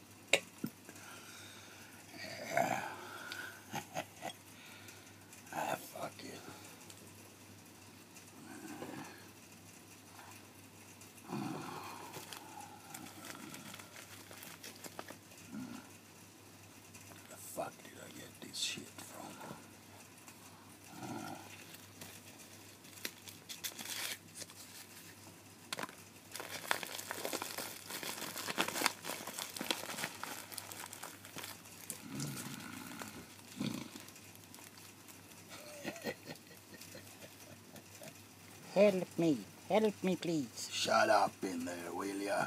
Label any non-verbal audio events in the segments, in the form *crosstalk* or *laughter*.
ah, fuck you. The fuck did I get this shit from? Uh, Help me. Help me, please. Shut up in there, will ya?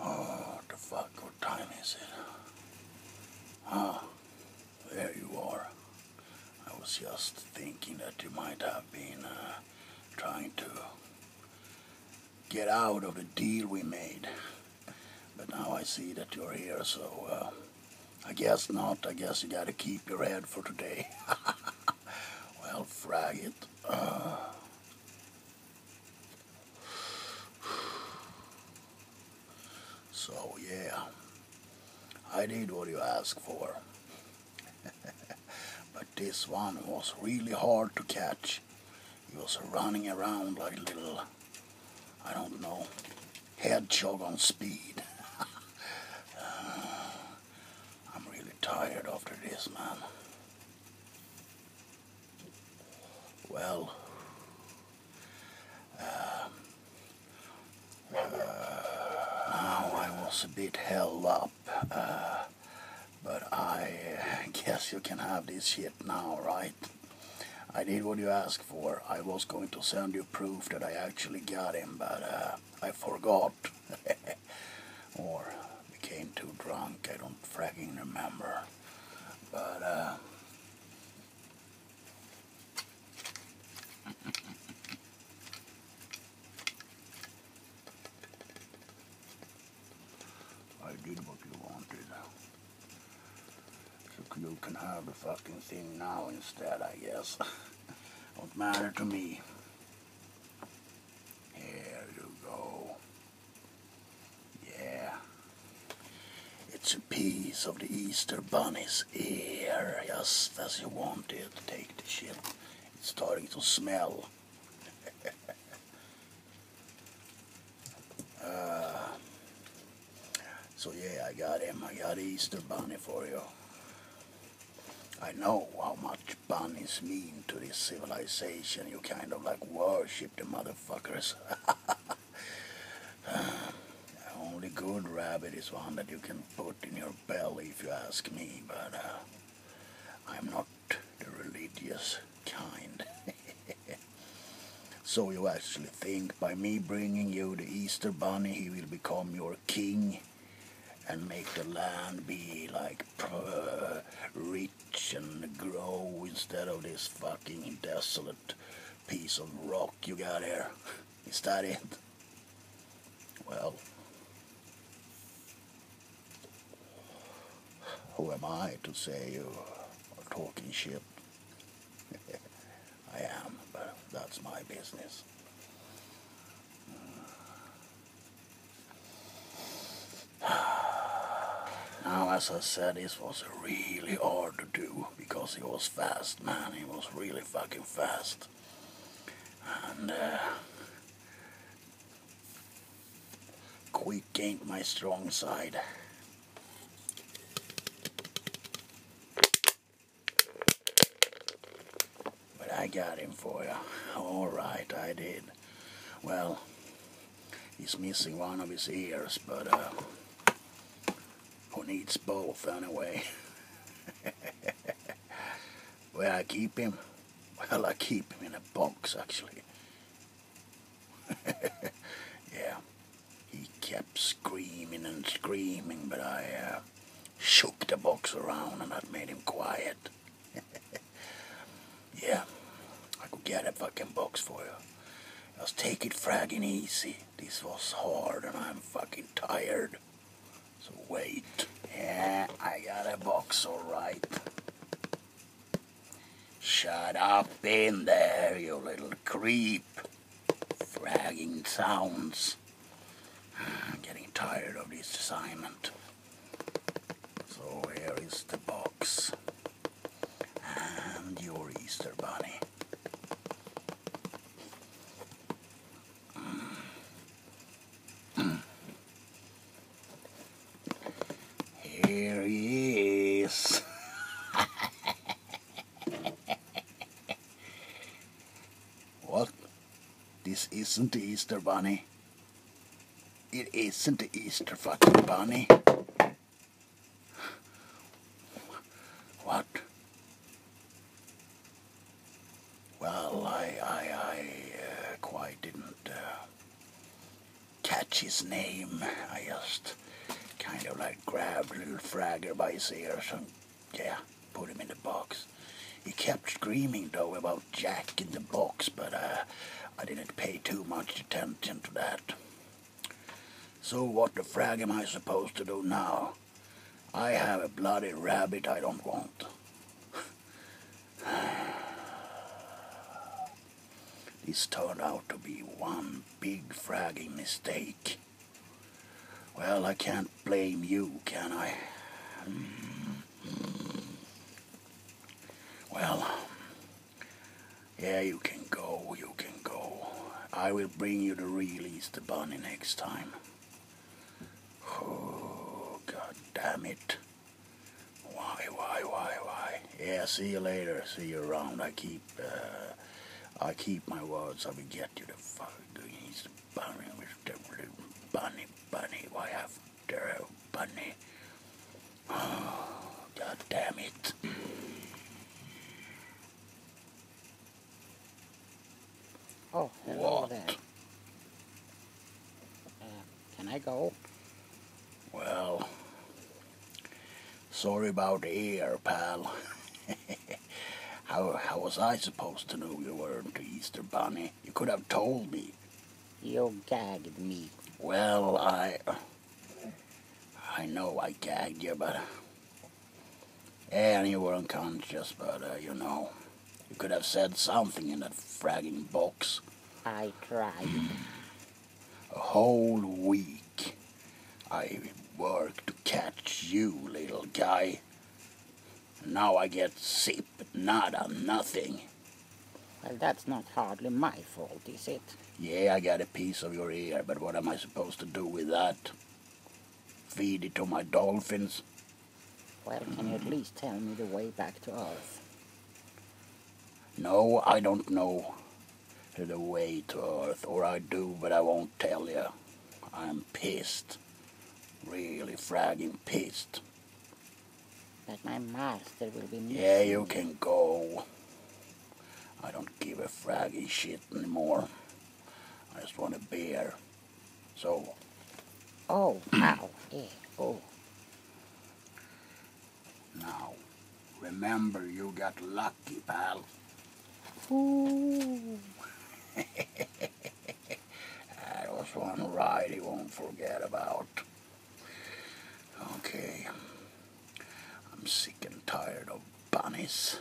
oh, the fuck, what time is it? Oh, there you are. I was just thinking that you might have been uh, trying to get out of the deal we made. But now I see that you're here, so uh, I guess not. I guess you gotta keep your head for today. *laughs* well, frag it. *sighs* so, yeah, I did what you asked for. *laughs* but this one was really hard to catch. He was running around like a little, I don't know, hedgehog on speed. *laughs* Uh, I'm really tired after this, man. Well, uh, uh, now I was a bit held up. But I guess you can have this shit now, right? I did what you asked for. I was going to send you proof that I actually got him, but uh, I forgot. *laughs* or became too drunk. I don't fracking remember. But, uh, I did what you wanted. So you can have the fucking thing now instead, I guess. What *laughs* not matter to me. Here you go. Yeah. It's a piece of the Easter Bunny's ear, just as you wanted. Take the shit. It's starting to smell. *laughs* Uh, so yeah, I got him. I got Easter Bunny for you. I know how much bunnies mean to this civilization. You kind of like worship the motherfuckers. *laughs* only good rabbit is one that you can put in your belly if you ask me, but uh, I'm not the religious kind. *laughs* so you actually think by me bringing you the Easter Bunny, he will become your king and make the land be like rich and grow instead of this fucking desolate piece of rock you got here. Is that it? Well, who am I to say you are talking shit? *laughs* I am, but that's my business. *sighs* Now, as I said, this was really hard to do because he was fast, man. He was really fucking fast. And uh, Quick ain't my strong side. But I got him for you. All right, I did. Well, he's missing one of his ears, but uh, who needs both anyway? *laughs* well, I keep him. Well, I keep him in a box, actually. *laughs* yeah, he kept screaming and screaming, but I uh, shook the box around and that made him quiet. *laughs* yeah, I could get a fucking box for you. Just take it fragging easy. This was hard and I'm fucking tired. So wait. Yeah, I got a box, alright. Shut up in there, you little creep. Fragging sounds. Ah, I'm getting tired of this assignment. So here is the box. And your Easter bunny. Hmm. Here he is. what? This isn't the Easter Bunny. It isn't the Easter fucking Bunny. What? Well, I, I, I uh, quite didn't. Uh, catch his name. I just kind of like grabbed little Fragger by his ears and yeah, put him in the box. He kept screaming though about Jack in the box, but uh, I didn't pay too much attention to that. So what the frag am I supposed to do now? I have a bloody rabbit I don't want. *laughs* This turned out to be one big fragging mistake. Well, I can't blame you, can I? Well, yeah, you can go, you can go. I will bring you the real Easter Bunny next time. Oh, god damn it. Why, why, why, why? Yeah, see you later. See you around. I keep, uh, I keep my words. I will get you the fuck. He's the bunny, Mr. Bunny, bunny. Why after a bunny? Oh, God damn it. Oh, hello what? there. Uh, can I go? Well, sorry about the ear, pal. *laughs* how, how was I supposed to know you weren't the Easter Bunny? You could have told me. You gagged me. Well, I... I know I gagged you, but... and eh, you were unconscious, but, uh, you know... You could have said something in that fragging box. I tried. A whole week I worked to catch you, little guy. And now I get sip, nada, nothing. Well, that's not hardly my fault, is it? Yeah, I got a piece of your ear, but what am I supposed to do with that? Feed it to my dolphins? Well, can you at least tell me the way back to Earth? No, I don't know the way to Earth, or I do, but I won't tell you. I'm pissed. Really fragging pissed. But my master will be missing. Yeah, you can go. I don't give a fragging shit anymore. I just want a beer. So. Oh, wow. Oh. Now, remember you got lucky, pal. Ooh. *laughs* that was one ride he won't forget about. Okay. I'm sick and tired of bunnies.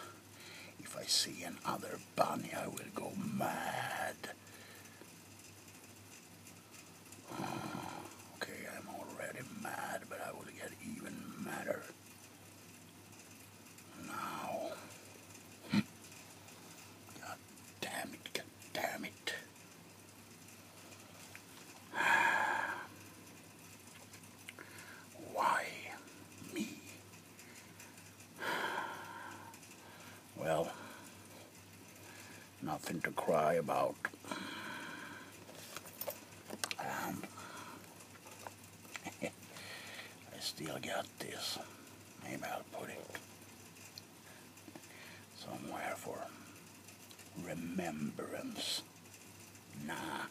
If I see another bunny, I will go mad. *sighs* Okay, I'm already mad, but I will get even madder. Now. *sighs* God damn it, god damn it. *sighs* Why me? well, nothing to cry about. Um, *laughs* I still got this. Maybe I'll put it somewhere for remembrance. Nah,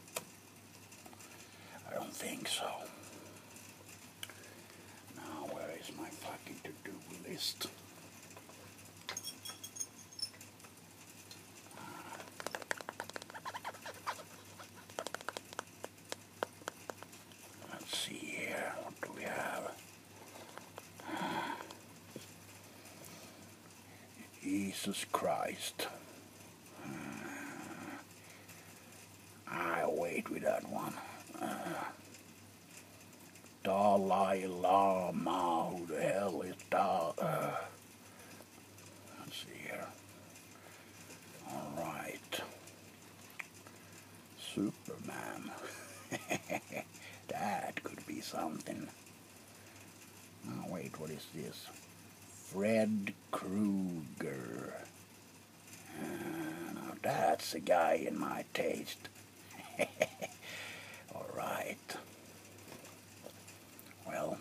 I don't think so. Now, where is my fucking to do list? Ah. Let's see here, what do we have? Ah. Jesus Christ. Ah. I wait without one. Dalai Lama, who the hell is that? Uh, let's see here. All right. Superman. *laughs* that could be something. Oh, wait, what is this? Fred Krueger. Uh, that's a guy in my taste. *laughs* All right. Well,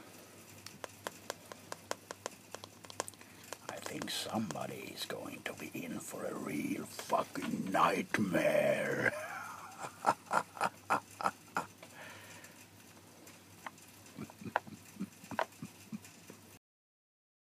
I think somebody is going to be in for a real fucking nightmare. *laughs*